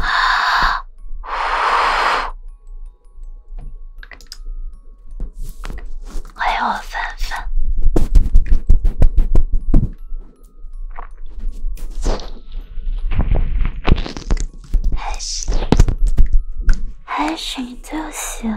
啊！欢迎我粉粉，还心，还行就行。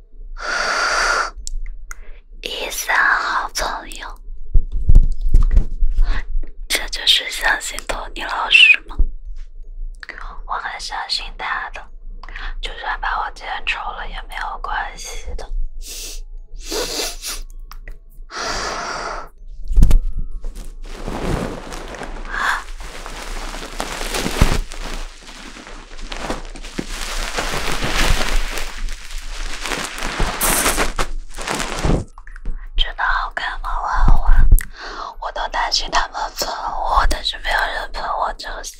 一三好朋友，这就是相信托尼老师吗？我很相信他的，就算把我剪丑了也没有关系的。真的好看吗？玩玩，我都担心他们喷我，但是没有人喷我就行。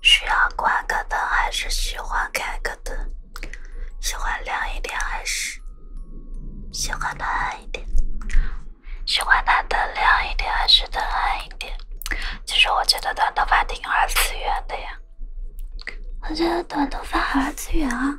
需要关个灯还是喜欢开个灯？喜欢亮一点还是喜欢暗一点？喜欢灯亮一点还是灯暗一点？其实我觉得短头发挺二次元的呀，我觉得短头发好二次元啊。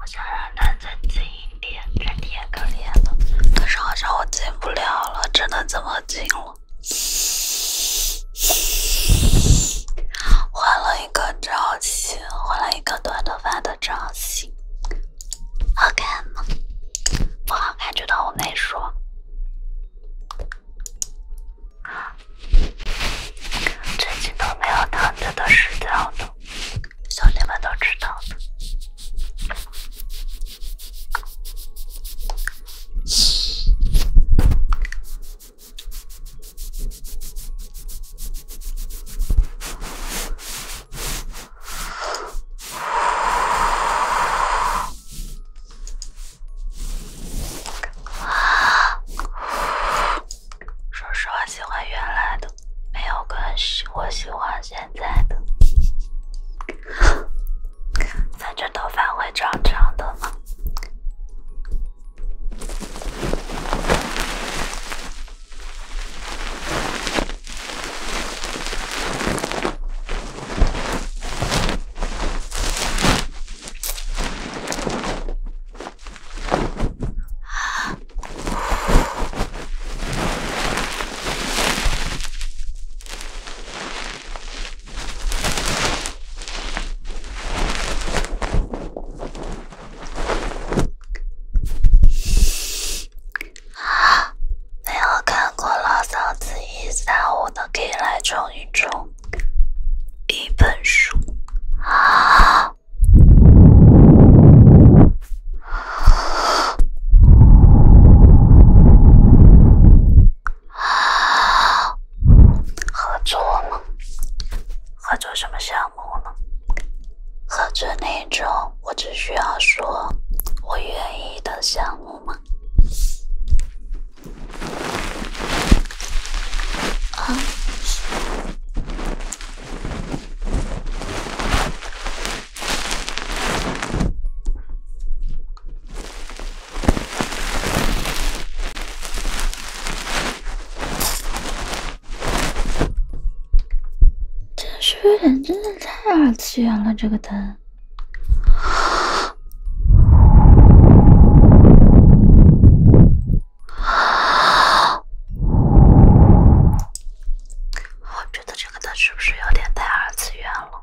我想让它再近一点，真也可怜了。可是好像我近不了了，只能这么近了？换了一个造型，换了一个短头发的造型，好看吗？不好看就当我没说。最近都没有躺着的时间了，兄弟们都知道的。啊！说实话，喜欢原来的，没有更系。我喜欢现在的，反 正头发会长长的嘛。啊！没有看过《老子一三五》的，可以来充一充一本书。啊！合作吗？合作什么项目呢？合作那种我只需要说我愿意的项目吗？啊！这是有点真的太二次元了，这个灯。我觉得这个灯是不是有点太二次元了？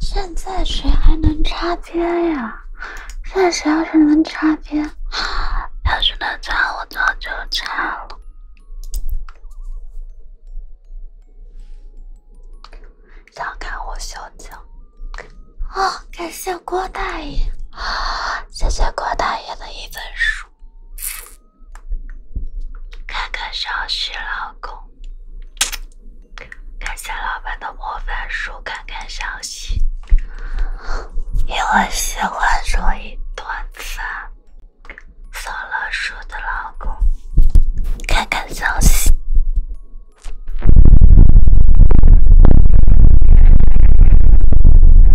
现在谁还能插边呀？现在谁要是能插边，要是能插，我早就插了。想看我小脚啊！感谢郭大爷啊！谢谢郭大爷的一本书。看看消息，老公。感谢老板的魔法书，看看消息。因为喜欢，所以短发。扫了书的老公，看看消息。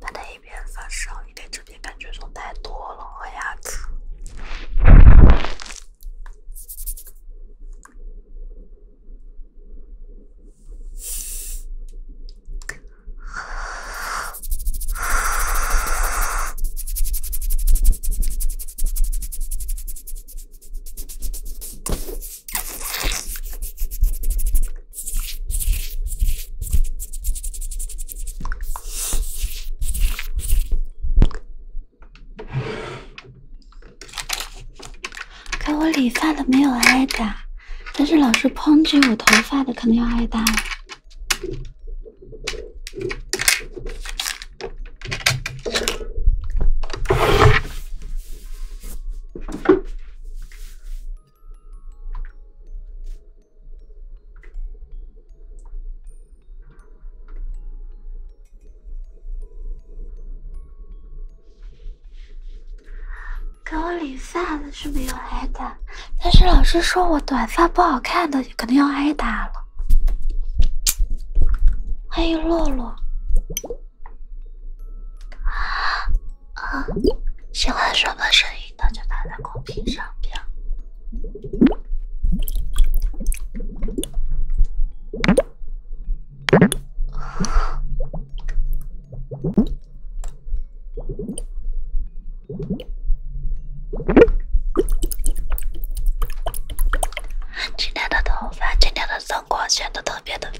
他一边发烧，你这边感觉总太多了，我牙齿。给我理发的没有挨打，但是老是抨击我头发的肯定要挨打。给我理发的是没有挨打，但是老师说我短发不好看的，肯定要挨打了。欢迎洛洛。啊，喜欢什么声音？的就打在公屏上边。今天的头发，今天的妆。光显得特别的。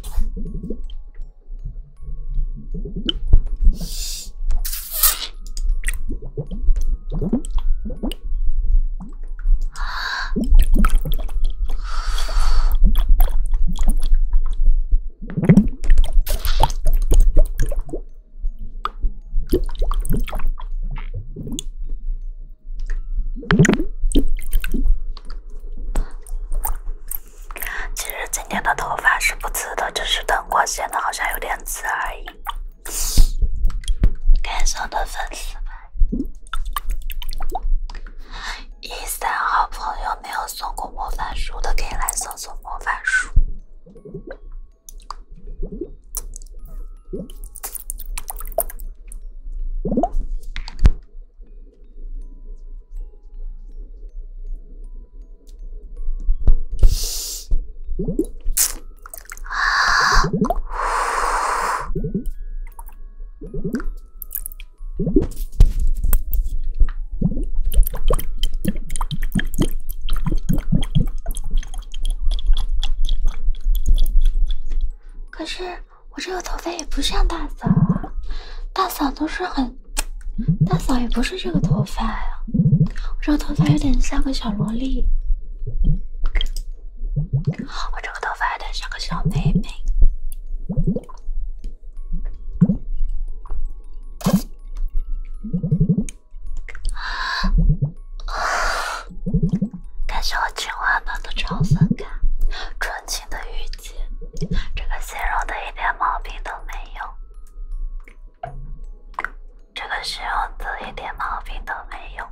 其实今天的头发是不刺的，只是灯光显得好像有点刺而已。感谢我的粉丝们！一三号朋友没有送过魔法书的，可以来送送魔法书。可是我这个头发也不像大嫂，啊，大嫂都是很。大嫂也不是这个头发呀，我这个头发有点像个小萝莉，我这个头发有点像个小妹妹。感谢我今晚的超粉卡，纯情的雨。这个形容的一点毛病都没有。这个形容词一点毛病都没有。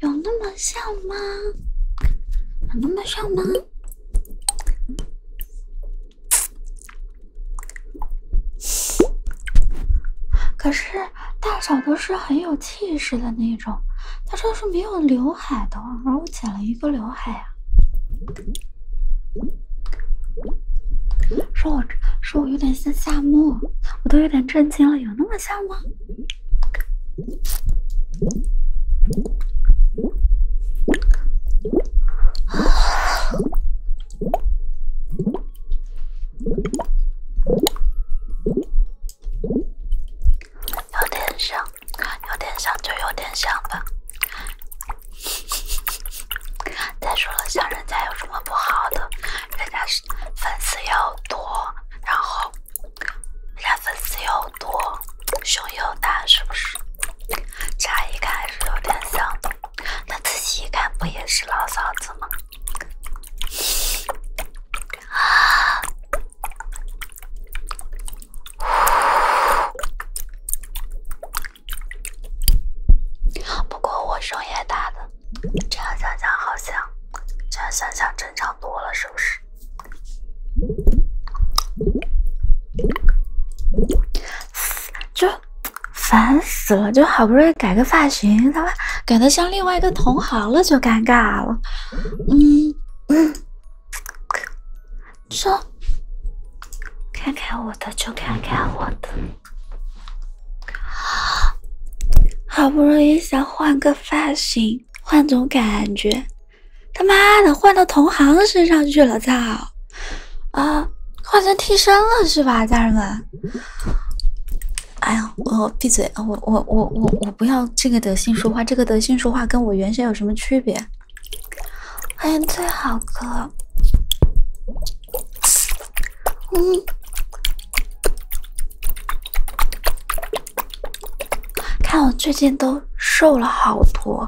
有那么像吗？有那么像吗？可是大小都是很有气势的那种，他这是没有刘海的，而我剪了一个刘海呀。说我说我有点像夏木，我都有点震惊了，有那么像吗？有点像，有点像就有点像吧。再说了，像人家有什么不好的？人家是粉丝又多，然后人粉丝又多，胸又大，是不是？乍一看还是有点像。的。那仔细一看，不也是老嫂子吗？啊！不过我声音大，的这样想想好像，这样想想正常多了，是不是？就烦死了，就好不容易改个发型，他妈改的像另外一个同行了，就尴尬了。嗯嗯，说看看我的就看看我的，好不容易想换个发型，换种感觉，他妈的换到同行身上去了，操！啊，换成替身了是吧，家人们？哎呀，我闭嘴，我我我我我不要这个德性说话，这个德性说话跟我原先有什么区别？欢迎最好哥。嗯，看我最近都瘦了好多。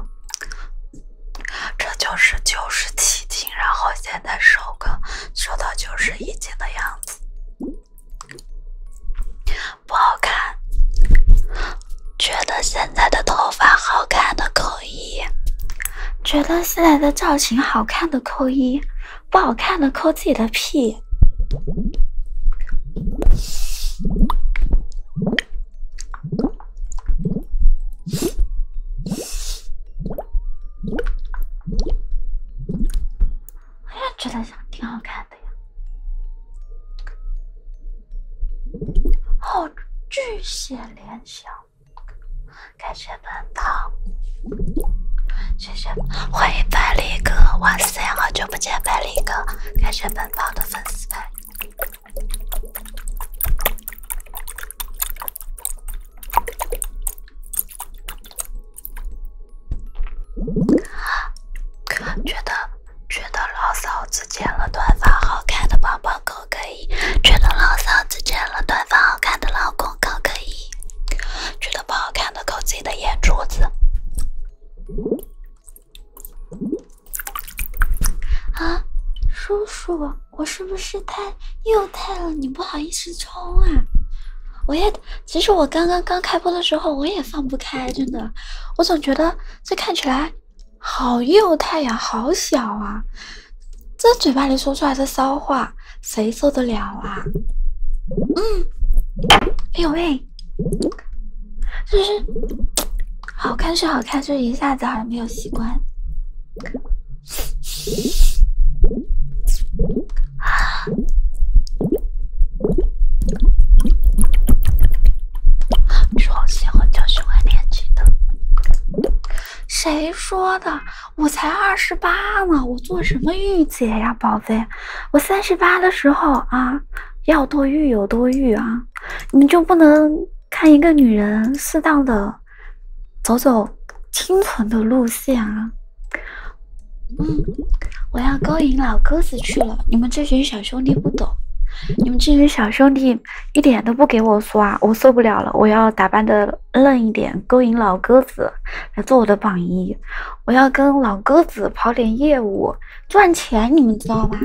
这就是九十七斤，然后现在瘦个瘦到九十一斤的样子，不好看。觉得现在的头发好看的扣一，觉得现在的造型好看的扣一，不好看的扣自己的屁。我也觉得挺好看的呀，好巨显联想，感谢本跑，谢谢，欢迎百里哥，哇塞，好久不见百里哥，感谢本跑的粉丝粉。啊！觉得觉得老嫂子剪了短发好看的宝宝扣可以，觉得老嫂子剪了短发好看的老公扣可以，觉得不好看的扣自己的眼珠子。啊，叔叔。我是不是太幼态了？你不好意思冲啊！我也，其实我刚刚刚开播的时候，我也放不开，真的。我总觉得这看起来好幼态呀，好小啊！这嘴巴里说出来的骚话，谁受得了啊？嗯，哎呦喂，就是好看是好看，就是一下子好像没有习惯。超喜欢教喜欢年的，谁说的？我才二十八呢，我做什么御姐呀，宝贝？我三十八的时候啊，要多御有多御啊！你就不能看一个女人适当的？走走清纯的路线啊！嗯，我要勾引老鸽子去了。你们这群小兄弟不懂，你们这群小兄弟一点都不给我刷，我受不了了。我要打扮的嫩一点，勾引老鸽子来做我的榜一。我要跟老鸽子跑点业务，赚钱，你们知道吗？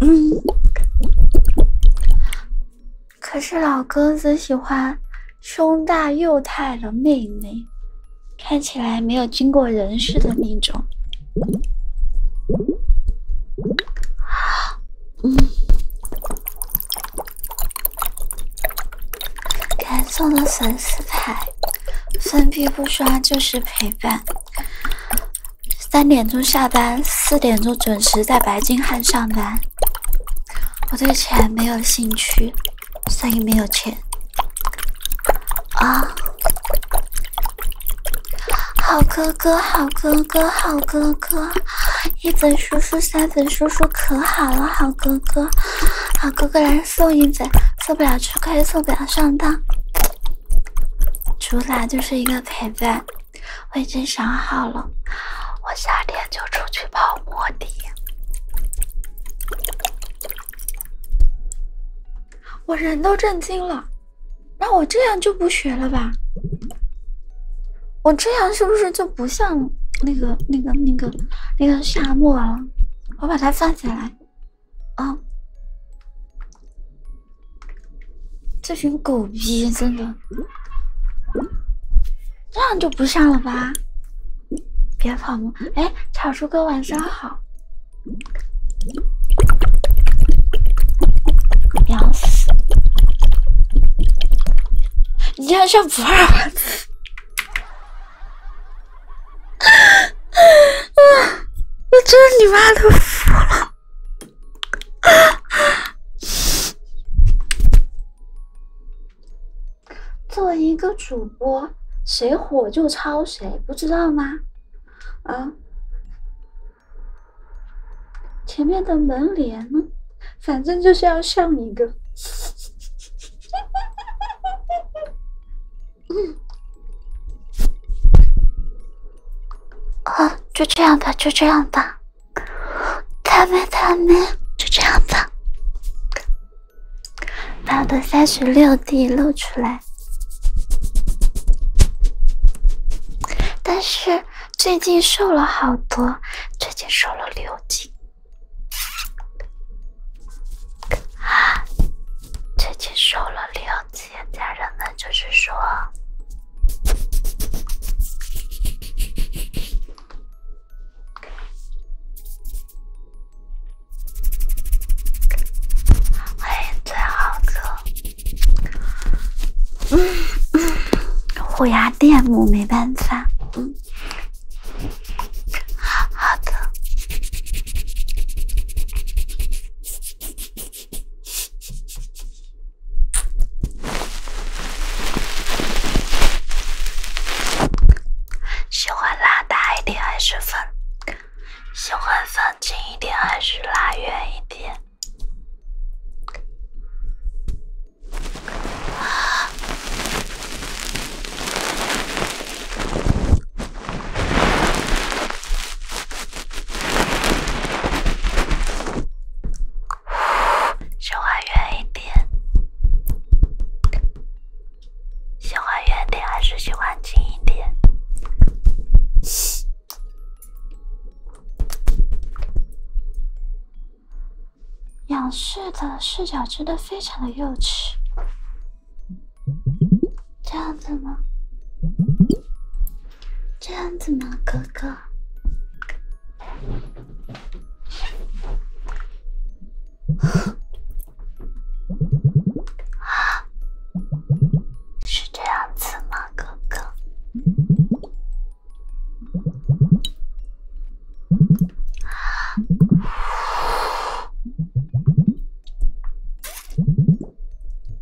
嗯。可是老哥只喜欢胸大又太的妹妹，看起来没有经过人事的那种。嗯，谢送的粉丝牌，分币不刷就是陪伴。三点钟下班，四点钟准时在白金汉上班。我对钱没有兴趣，所以没有钱。啊！好哥哥，好哥哥，好哥哥，一本叔叔，三本叔叔可好了，好哥哥，好哥哥，来送一本，送不了吃亏，送不了上当。主打就是一个陪伴。我已经想好了，我夏天就出去泡摩的。我人都震惊了，那我这样就不学了吧？我这样是不是就不像那个那个那个那个沙漠了？我把它放下来啊。这群狗逼，真的，这样就不上了吧？别跑！哎，草叔哥，晚上好。屌死！你竟然上不二！啊我真你妈都服了。作为一个主播，谁火就抄谁，不知道吗？啊！前面的门帘，呢？反正就是要上一个。啊，就这样吧，就这样吧。他们他们就这样子，把我的三十六 D 露出来。但是最近瘦了好多，最近瘦了六斤啊！最近瘦了六斤，家人们就是说。欢迎最好吃。虎牙电母没办法。嗯，好的。喜欢拉大一点还是分，喜欢放近一点还是拉远一点？喜欢远一点，喜欢远点还是喜欢近一点？仰视的视角真的非常的幼稚，这样子吗？这样子吗，哥哥？啊，是这样子吗，哥哥？啊。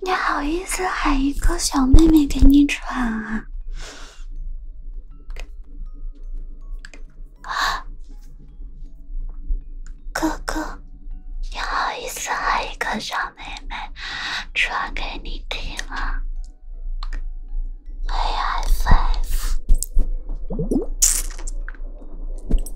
你好意思喊一个小妹妹给你喘啊！哥哥，你好意思喊一个小妹妹喘给你听啊 a I five。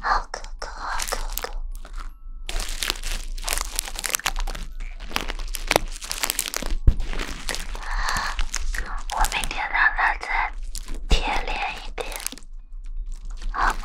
好哥哥，好哥哥，我明天让他再贴脸一点，好吗？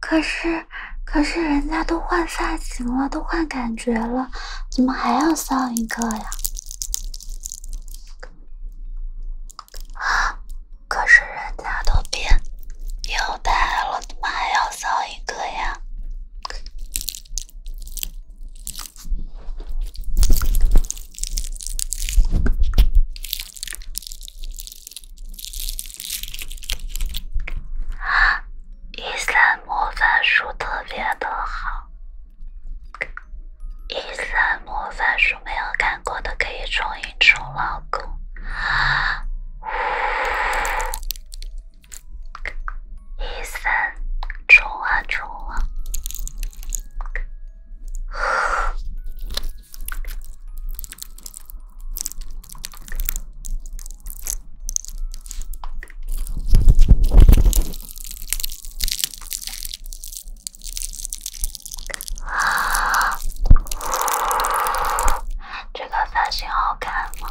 可是，可是人家都换发型了，都换感觉了，怎么还要骚一个呀？啊！可是人家都变腰带了，怎么还要骚一个呀？啊！《一三魔法书》特别的好，《一三魔法书》没有看过的可以冲一冲老公。一三冲啊冲啊！啊，这个发型好看吗？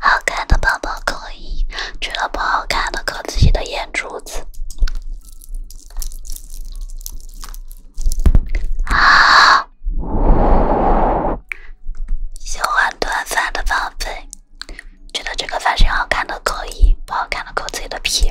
好看的宝宝扣一，觉得不好看的扣自己的眼珠子。啊！喜欢短发的宝贝，觉得这个发型好看的扣一，不好看的扣自己的屁。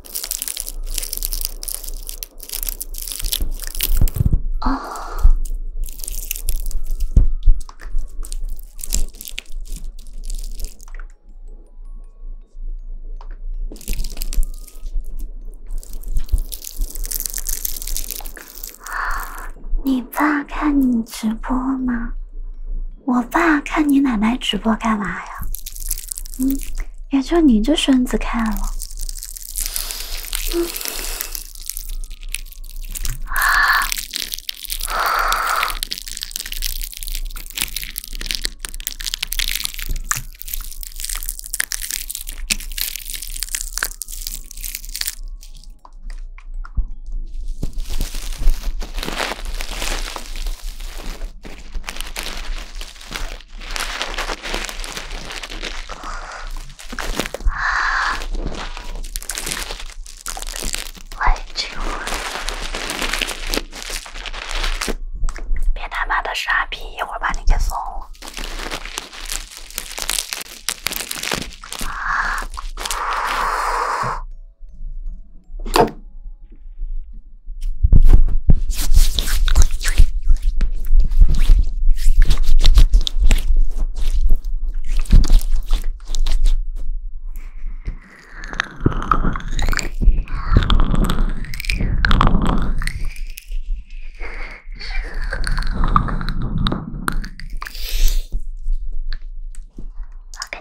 啊！你爸看你直播吗？我爸看你奶奶直播干嘛呀？嗯，也就你这孙子看了。哎，这个！别他妈的傻逼，一会儿把你给送了。我肯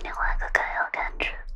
个更有感觉的。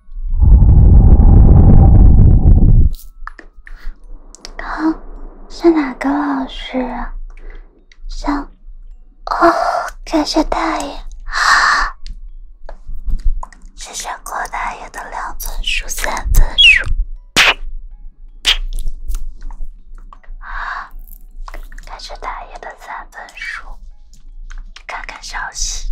刚是哪个老师？想哦，感谢大爷啊！谢谢郭大爷的两分书三分书。啊！感谢大爷的三本书，看看消息。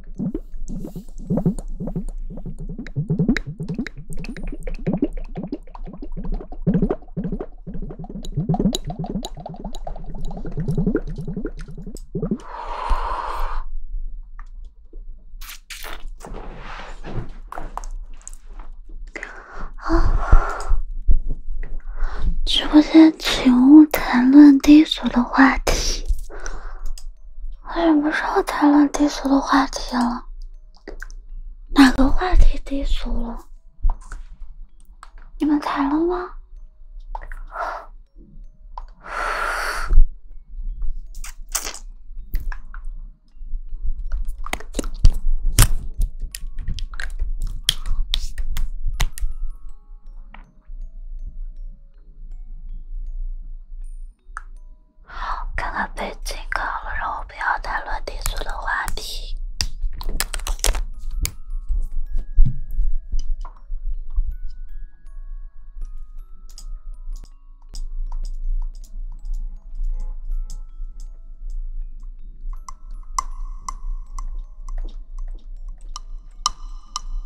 直播间，请勿谈论低俗的话题。我像不要谈论低俗的话题了，哪个话题低俗了？你们谈了吗？看看背景，好了，让我不要谈论低俗的话题。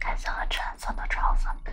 开启了橙色的超分特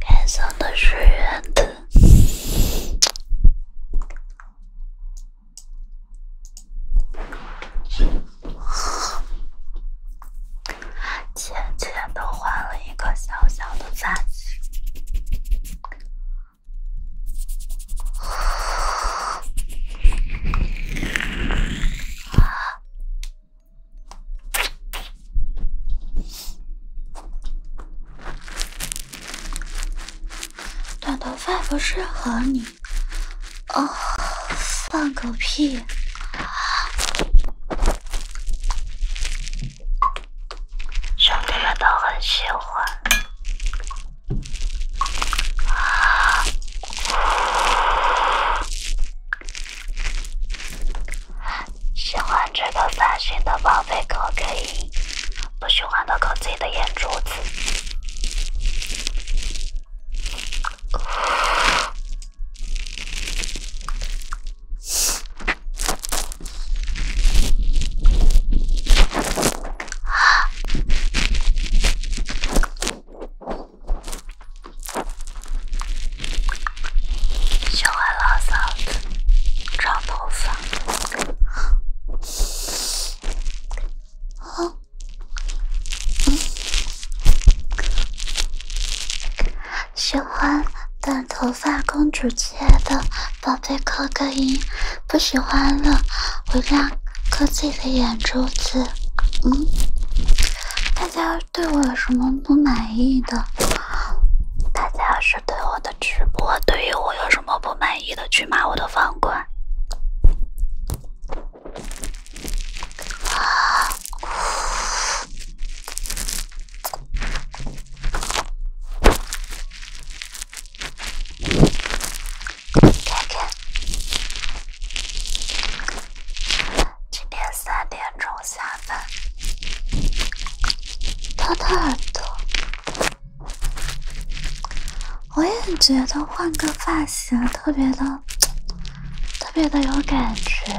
该死的水印子，渐渐短头发不适合你。哦，放个屁！兄弟们都很喜欢。喜欢这个发型的宝贝可以，不喜欢的扣自己的眼珠子。喜欢老嫂子长头发，喜欢短头发公主切的宝贝扣个一，不喜欢了我让。磕自己的眼珠子，嗯，大家对我有什么不满意的？大家要是对我的直播，对于我有什么不满意的，去骂我的房管。看看，今天三点钟下班，掏掏耳朵，我也觉得换个发型特别的，特别的有感觉。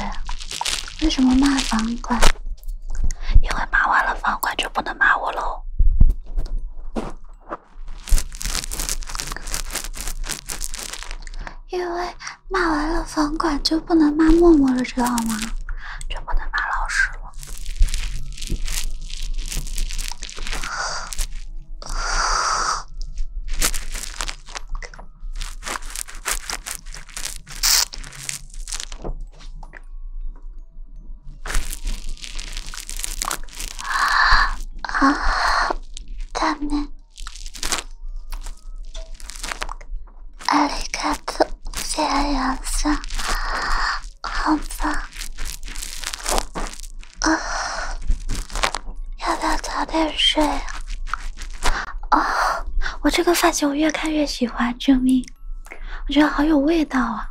为什么骂房管？因为骂完了房管就不能骂我喽。因为骂完了房管就不能骂默默了，知道吗？就不能骂老师了。啊啊！感谢，谢谢杨总，好吧。啊，要不要早点睡啊？哦，我这个发型我越看越喜欢，救命！我觉得好有味道啊。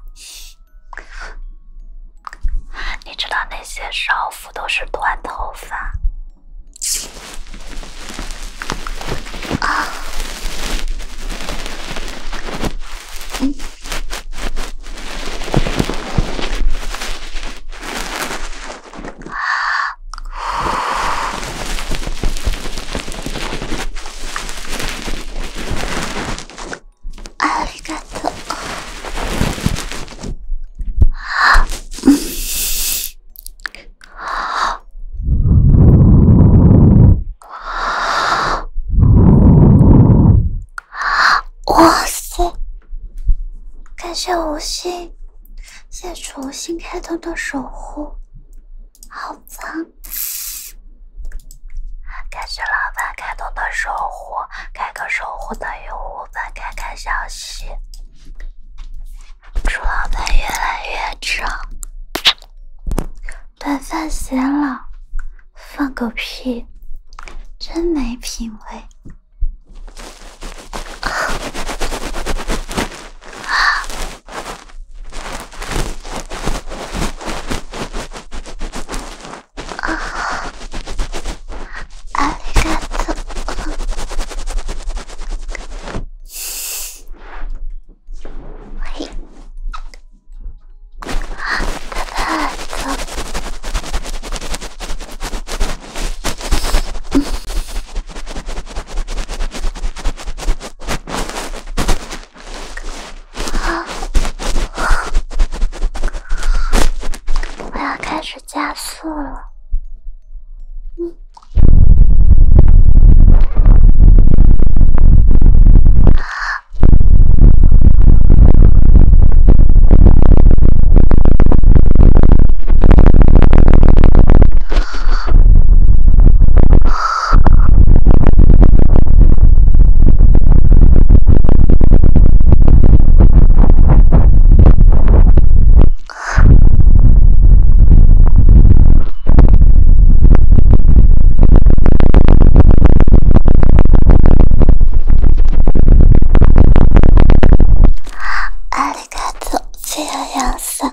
你知道那些少妇都是短头发？啊，嗯。啊！阿里嘎啊！哇塞！感谢无心，谢楚无心开通的守护，好脏！感谢老板开通的守护，开个守护的于我。老板，看看消息。祝老板越来越长，短发显老，放个屁，真没品味。我要开始。加速了，嗯。ありがとう、シアヤンさん。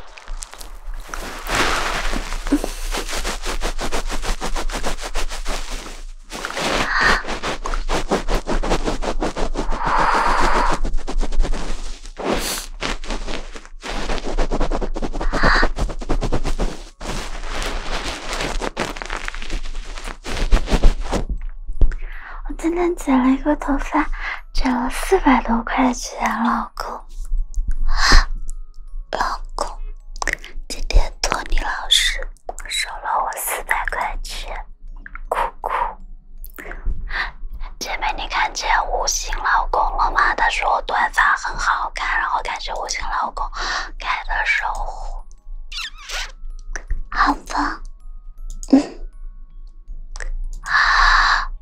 我今天剪了一个头发。赚了四百多块钱，老公，老公，今天托你老师收了我四百块钱，酷酷。姐妹，你看见五星老公了吗？他说我短发很好看，然后感谢五星老公开的守护。好吧，嗯。啊。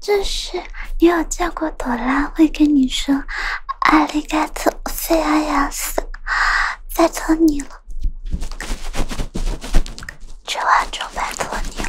这是你有见过朵拉会跟你说：“阿里嘎多，我亚亚斯”，拜再托你了。”这话就拜托你了。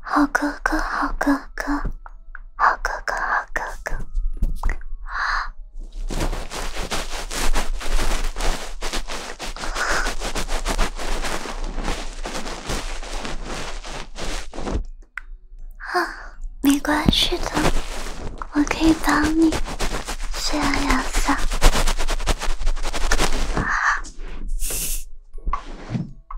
好哥哥，好哥哥，好哥哥，好哥哥。啊，啊，没关系的，我可以帮你，虽然要撒。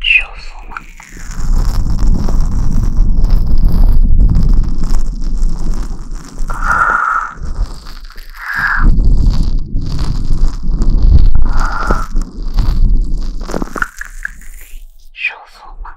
舒服吗？舒服吗？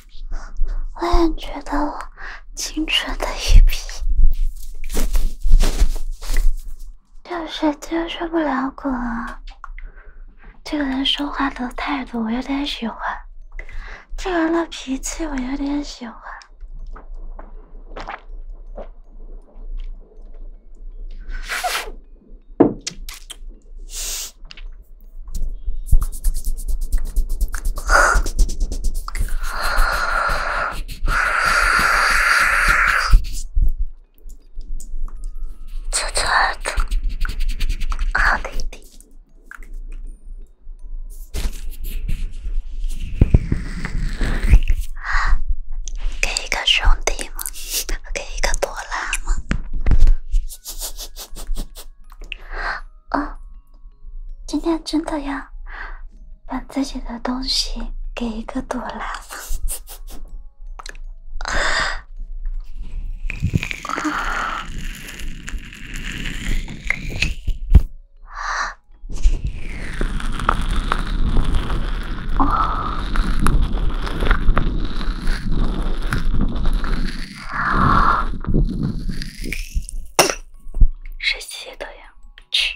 我也觉得我清纯的一批，就是接受不了滚啊！这个人说话的态度我有点喜欢，这个人的脾气我有点喜欢。臭臭的，好弟弟，给一个兄弟吗？给一个朵拉吗？哦，今天真的要把自己的东西给一个朵拉。哦。谁吸的呀？去。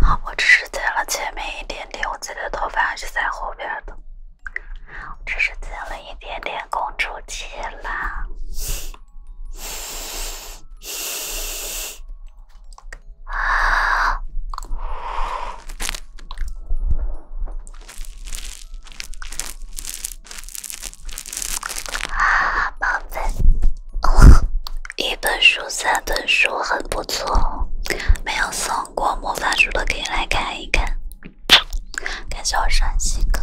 好，我只是剪了前面一点点，我自己的头发还是在后边的。我只是剪了一点点公主切啦。啊！宝贝，一本书三本书很不错，没有送过魔法书的可以来看一看。感谢我帅西哥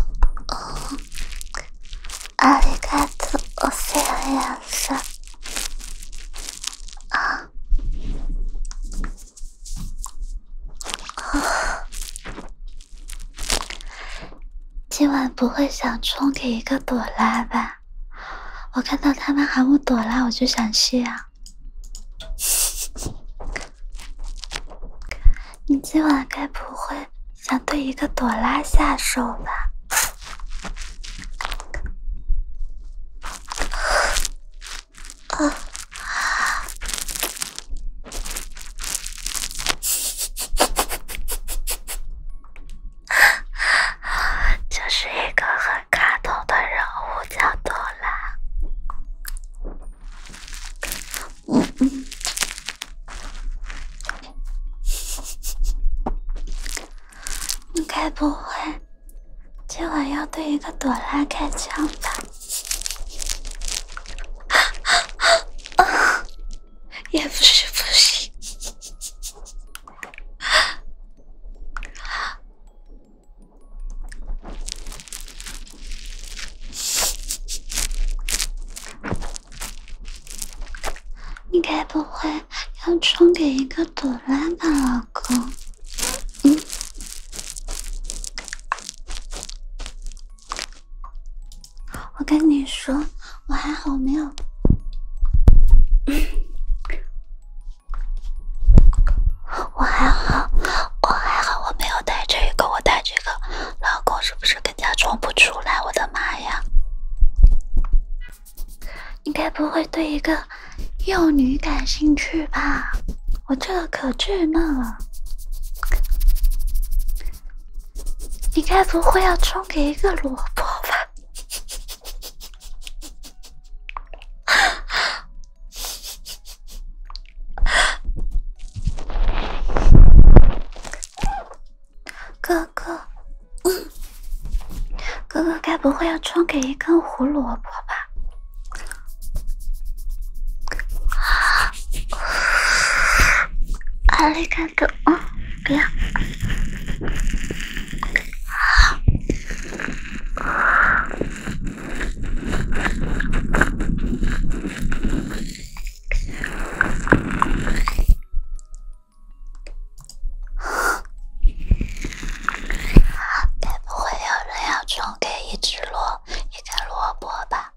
阿里嘎多，我谢谢哦，谢啊。啊。今晚不会想充给一个朵拉吧？我看到他们喊我朵拉，我就想去啊。你今晚该不会……想对一个朵拉下手吧。啊。这是一个很卡通的人物，叫朵拉。嗯。你该不会今晚要对一个朵拉开枪吧？也不是不行。你该不会要充给一个朵拉吧，老公？嗯，我跟你说，我还好没有，我还好，我还好，我没有带这个，我带这个，老公是不是？假装不出来，我的妈呀！你该不会对一个幼女感兴趣吧？我这可稚嫩了。你该不会要充给一个萝卜吧？哥哥，嗯，哥哥该不会要充给一根胡萝卜吧？阿力哥哥，啊，不要！该不会有人要送给一只萝，一个萝卜吧？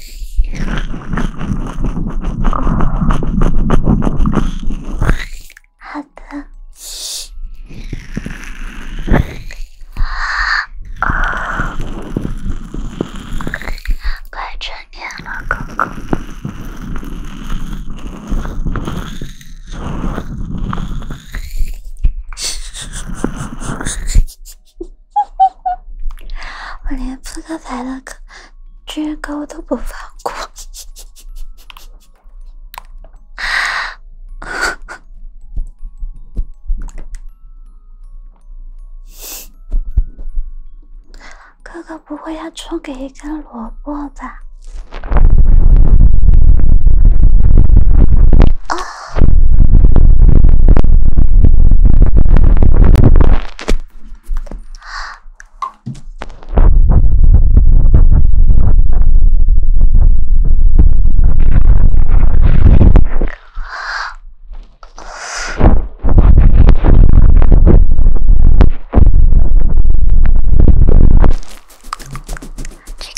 好的，快成年了，哥哥，我连扑克牌都。绝高都不放过，哥哥不会要充给一根萝卜吧？啊！请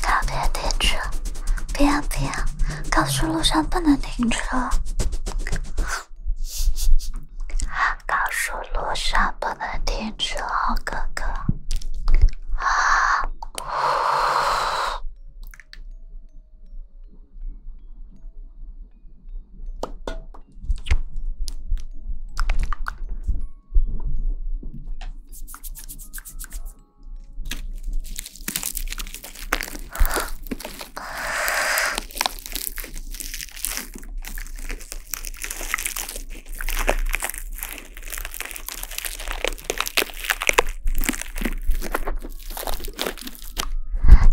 告别停车，不要不要，高速路上不能停车。高速路上不能停车，哥哥。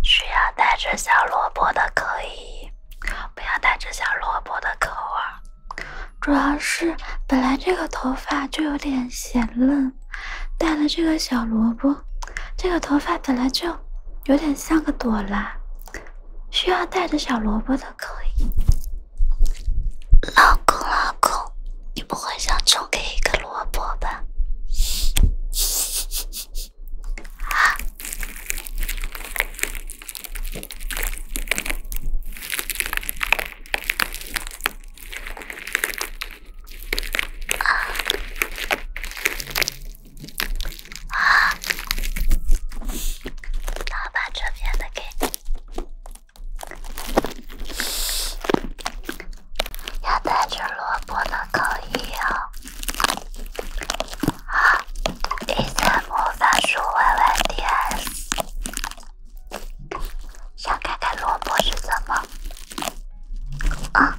需要带着小萝卜的可以，不要带着小萝卜的可我。主要是本来这个头发就有点显嫩，带了这个小萝卜。这个头发本来就有点像个朵拉，需要带着小萝卜的可以。老公，老公，你不会想重给一个萝卜吧？啊！啊！啊！老把这边的给，要带着萝卜的口音哦。好，一本魔法书，弯弯点，想看看萝卜是什么啊？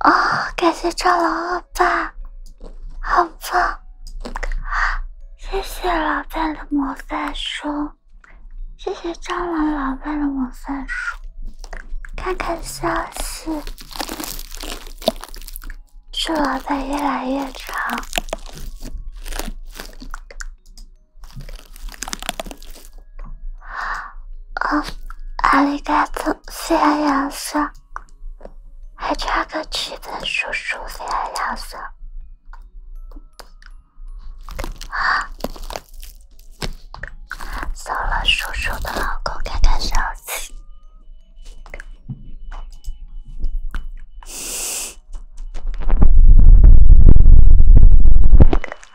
哦，感谢蟑螂恶霸，好棒！谢谢老板的魔法书，谢谢蟑螂老板的魔法书，看看消息，祝老板越来越长。哦，阿里嘎多！飞亚索，还差个七本叔叔飞亚索。啊，搜了叔叔的老公，看看是儿子。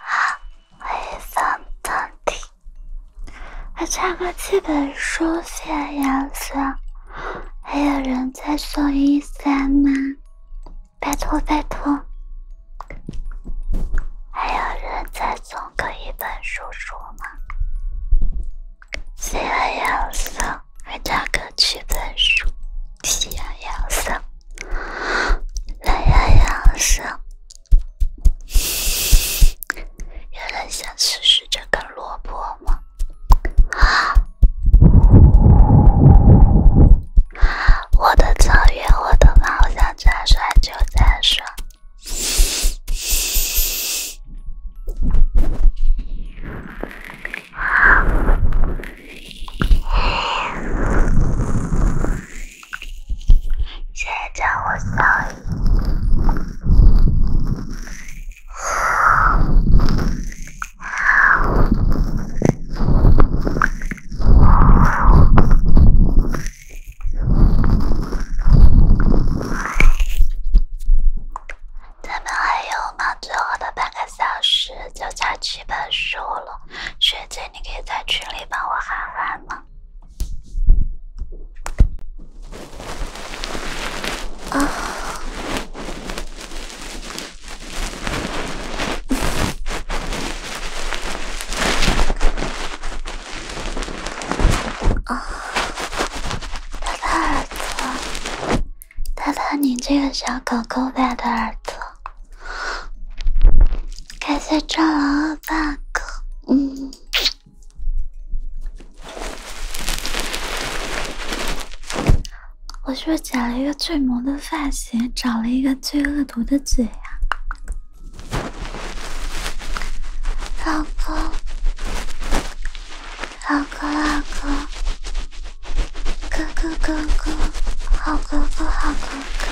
啊。会放到底，还差个基本书写颜色，还有人在送一三吗？拜托拜托，还有人在送个一本书书吗？写颜色还差个基本书，写颜色。蓝呀呀，是有人想试试这根萝卜吗？我的草原，我的马，我想再睡就再睡。现在我上一，咱们还有吗？最后的半个小时，就差几本书了，学姐。你可以在群里帮我喊喊吗？啊！啊！他的耳朵，他的你这个小狗狗仔的耳朵。感谢蟑螂二大哥。嗯，我是不是剪了一个最萌的发型，找了一个最恶毒的嘴呀？老公，老公，老公，哥哥，哥哥，好哥哥，好哥哥。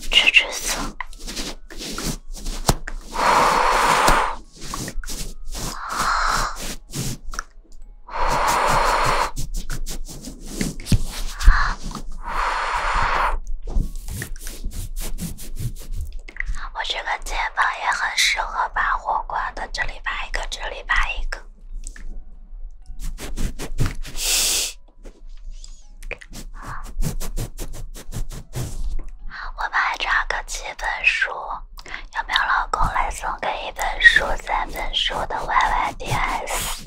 吹吹色，我这个肩膀也很适合把火挂的，这里拔一个，这里拔一个。我们还差个七本书，有没有老公来送给一本书、三本书的 YYDS？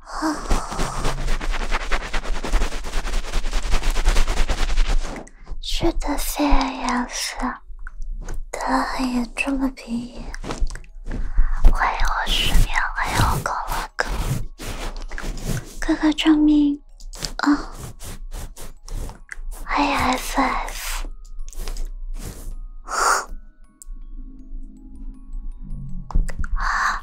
啊。是的，肺炎是得了很严重的鼻炎，欢迎我失眠，还我搞高症，哥哥救命。啊，欢迎 FF。啊。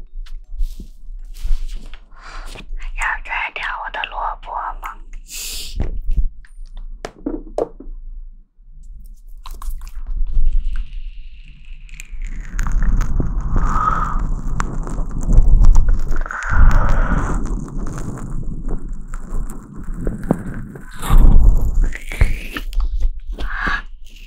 要摘掉我的萝卜吗？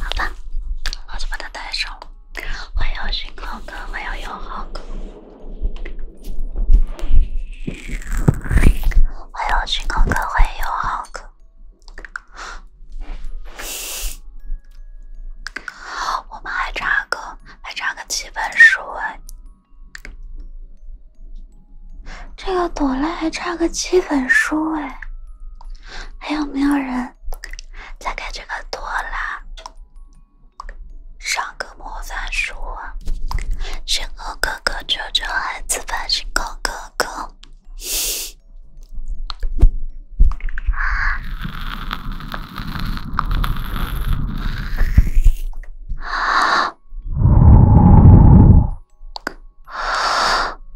好吧，老子把他带上。欢迎星空哥，欢迎友好哥。欢迎星空哥，欢迎友好哥。我们还差个，还差个七本书哎。这个朵拉还差个七本书哎。还有没有人？再给这个朵拉上个魔法书，星空哥哥救救孩子吧，星空哥哥！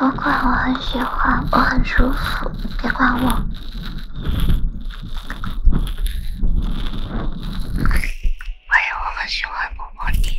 我管，我很喜欢，我很舒服，别管我。还有，我很喜欢摸摸你。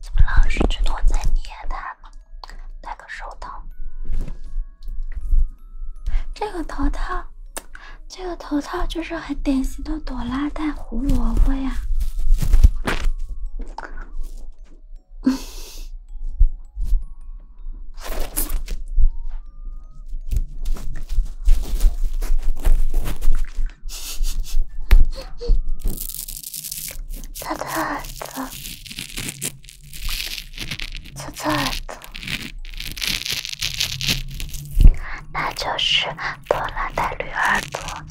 怎么老是去躲在面团？戴个手套，这个头套，这个头套就是很典型的朵拉戴胡萝卜呀。他的耳朵，他的耳朵，那就是多拉的绿耳朵了。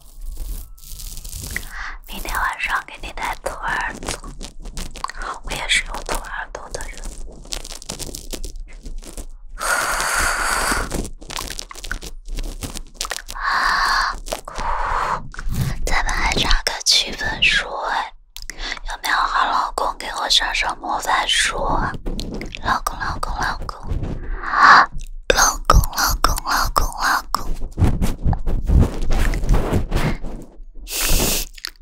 明天晚上给你带兔耳朵，我也是有兔耳朵的人。咱们还差个七分书哎，有没有好老公给我上上魔法书啊？老公老公老公，老公老公老公啊，老公。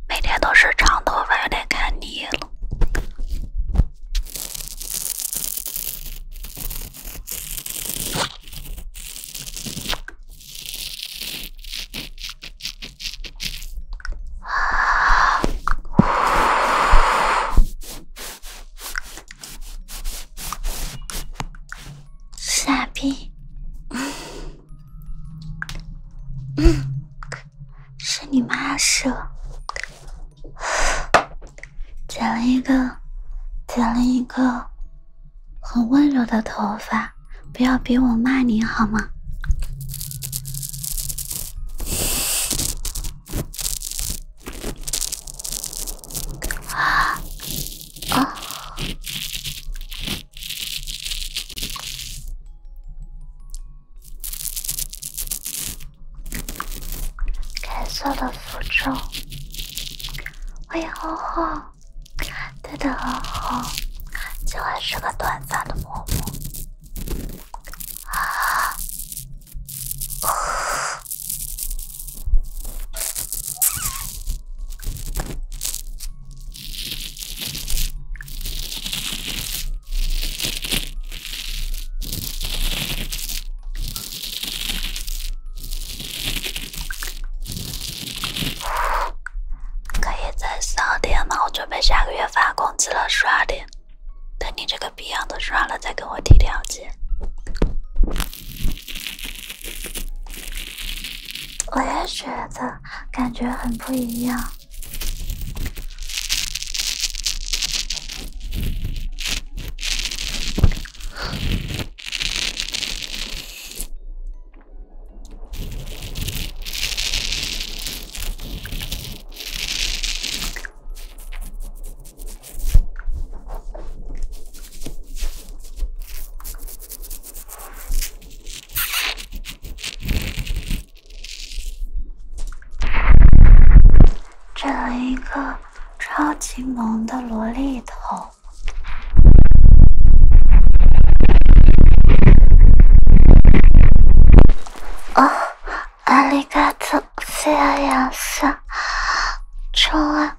每天都是长头发，有点看腻了。啊！傻逼！是你妈是剪了一个，剪了一个很温柔的头发，不要逼我骂你好吗？改造的符咒，欢迎欧欧，对的，欧欧，喜欢是个短发的嬷嬷啊。可以再十点吗？我准备下个月发工资了，刷点。等你这个逼样都刷了，再跟我提条件。我也觉得，感觉很不一样。整了一个超级萌的萝莉头！啊，Aligato f e l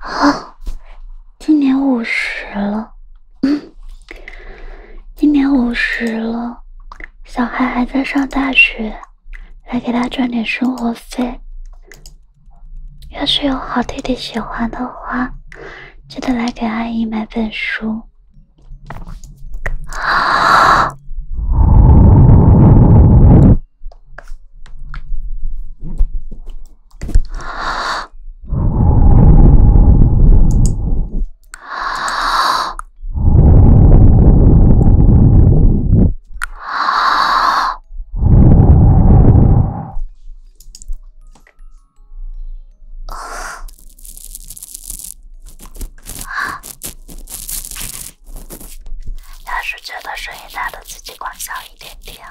看今年五十了。嗯，今年五十了，小孩还在上大学。来给他赚点生活费。要是有好弟弟喜欢的话，记得来给阿姨买本书。啊！啊！啊！啊！要是觉得声音大了，自己关小一点点啊。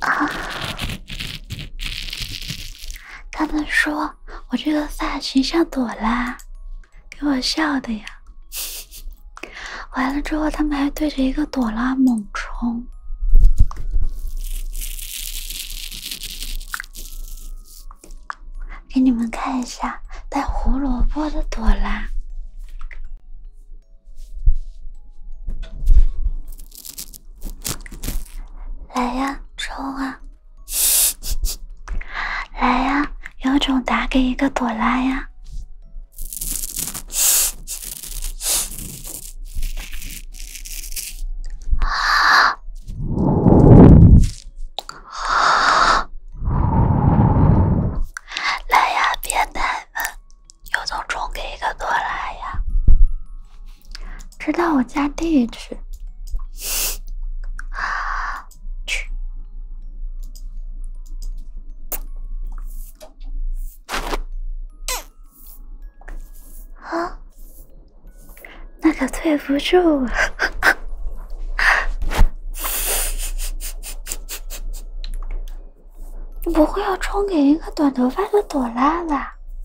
啊！他们说我这个发型像朵拉，给我笑的呀！完了之后，他们还对着一个朵拉猛冲。给你们看一下带胡萝卜的朵拉。来呀，冲啊！来呀，有种打给一个朵拉呀！啊！啊！来呀，别奶了。有种充给一个多拉呀？知道我家地址。啊？那可对不住你 不会要充给一个短头发的朵拉吧？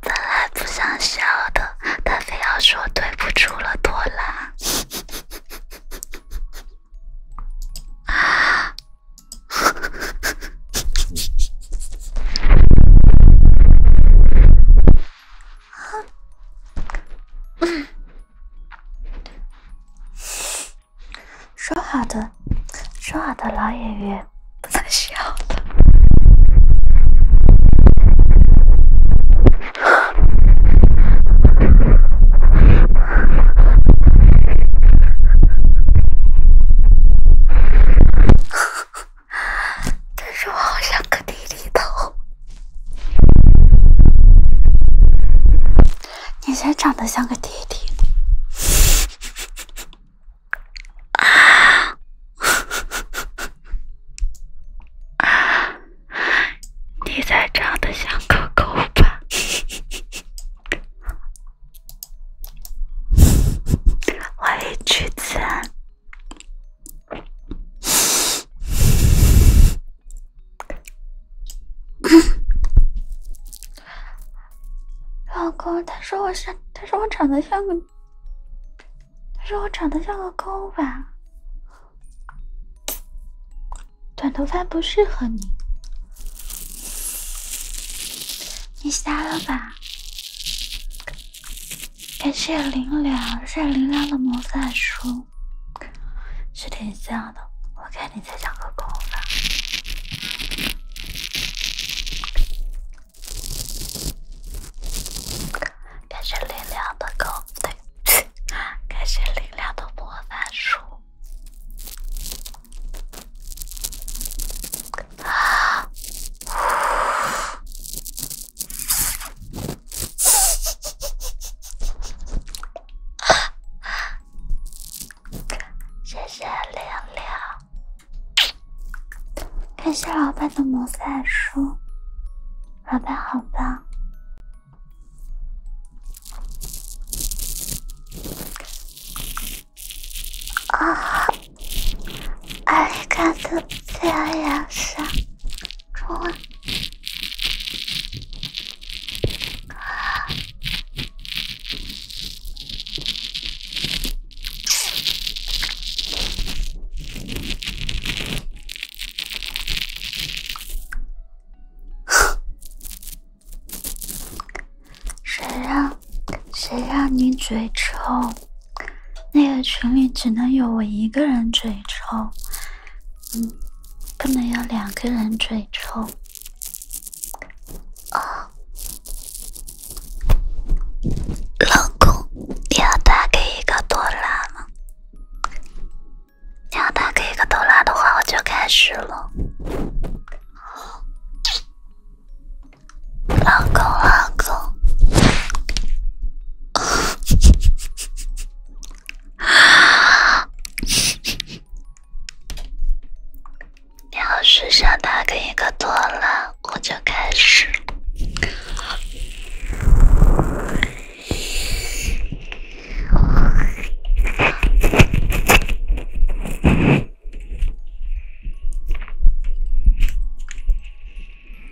本来不想笑的，他非要说对不住了，多拉。说好的，说好的老演员不能笑了。但是我好想个弟弟头，你才长得像个弟弟，啊，你再长得像个狗吧，欢迎橘子。老公，他说我是，他说我长得像个，他说我长得像个勾吧，短头发不适合你，你瞎了吧？感谢林良，谢谢林良的魔法书。是挺像的，我看你才像个狗吧。感谢林良的狗，对，感谢林良的魔法书。啊！谢谢点亮，感谢老板的魔法书，老板好棒！啊。阿丽卡的最爱是臭。谁让谁让你嘴臭？那个群里只能有我一个人嘴臭，嗯，不能有两个人嘴臭。哦，老公，你要打给一个多拉吗？你要打给一个多拉的话，我就开始了。老公，老公。要是想打开一个拖拉，我就开始。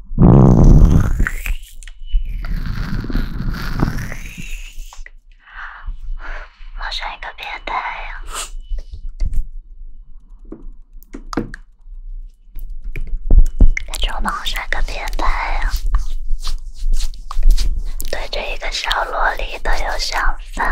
冒上一个变态呀！那就冒上一个变态呀！对着一个小萝莉都有想法。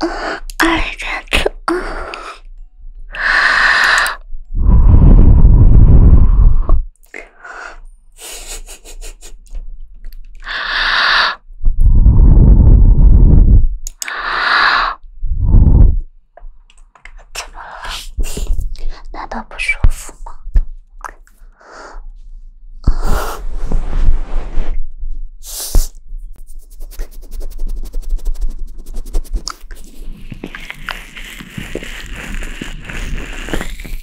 啊！哎呀，操！怎么了？难道不舒服吗？一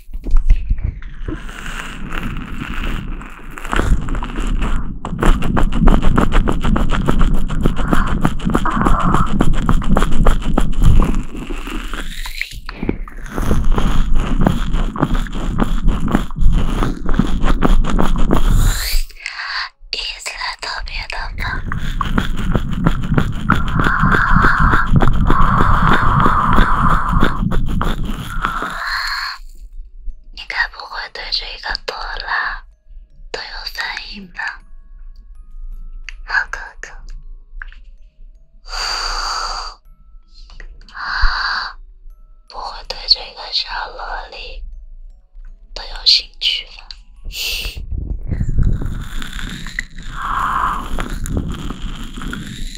丝特别的梦。你该不会对这个朵拉都有反应吧，好哥哥？啊，不会对这个小萝莉都有兴趣吧？啊！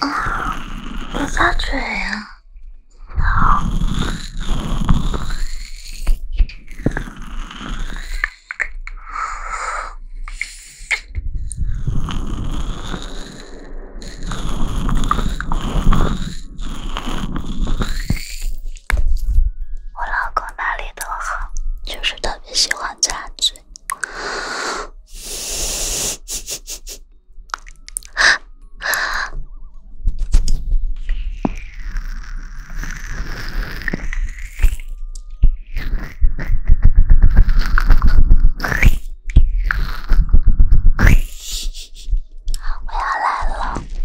啊，不擦嘴呀。我老公哪里都好，就是特别喜欢插嘴。我要来了。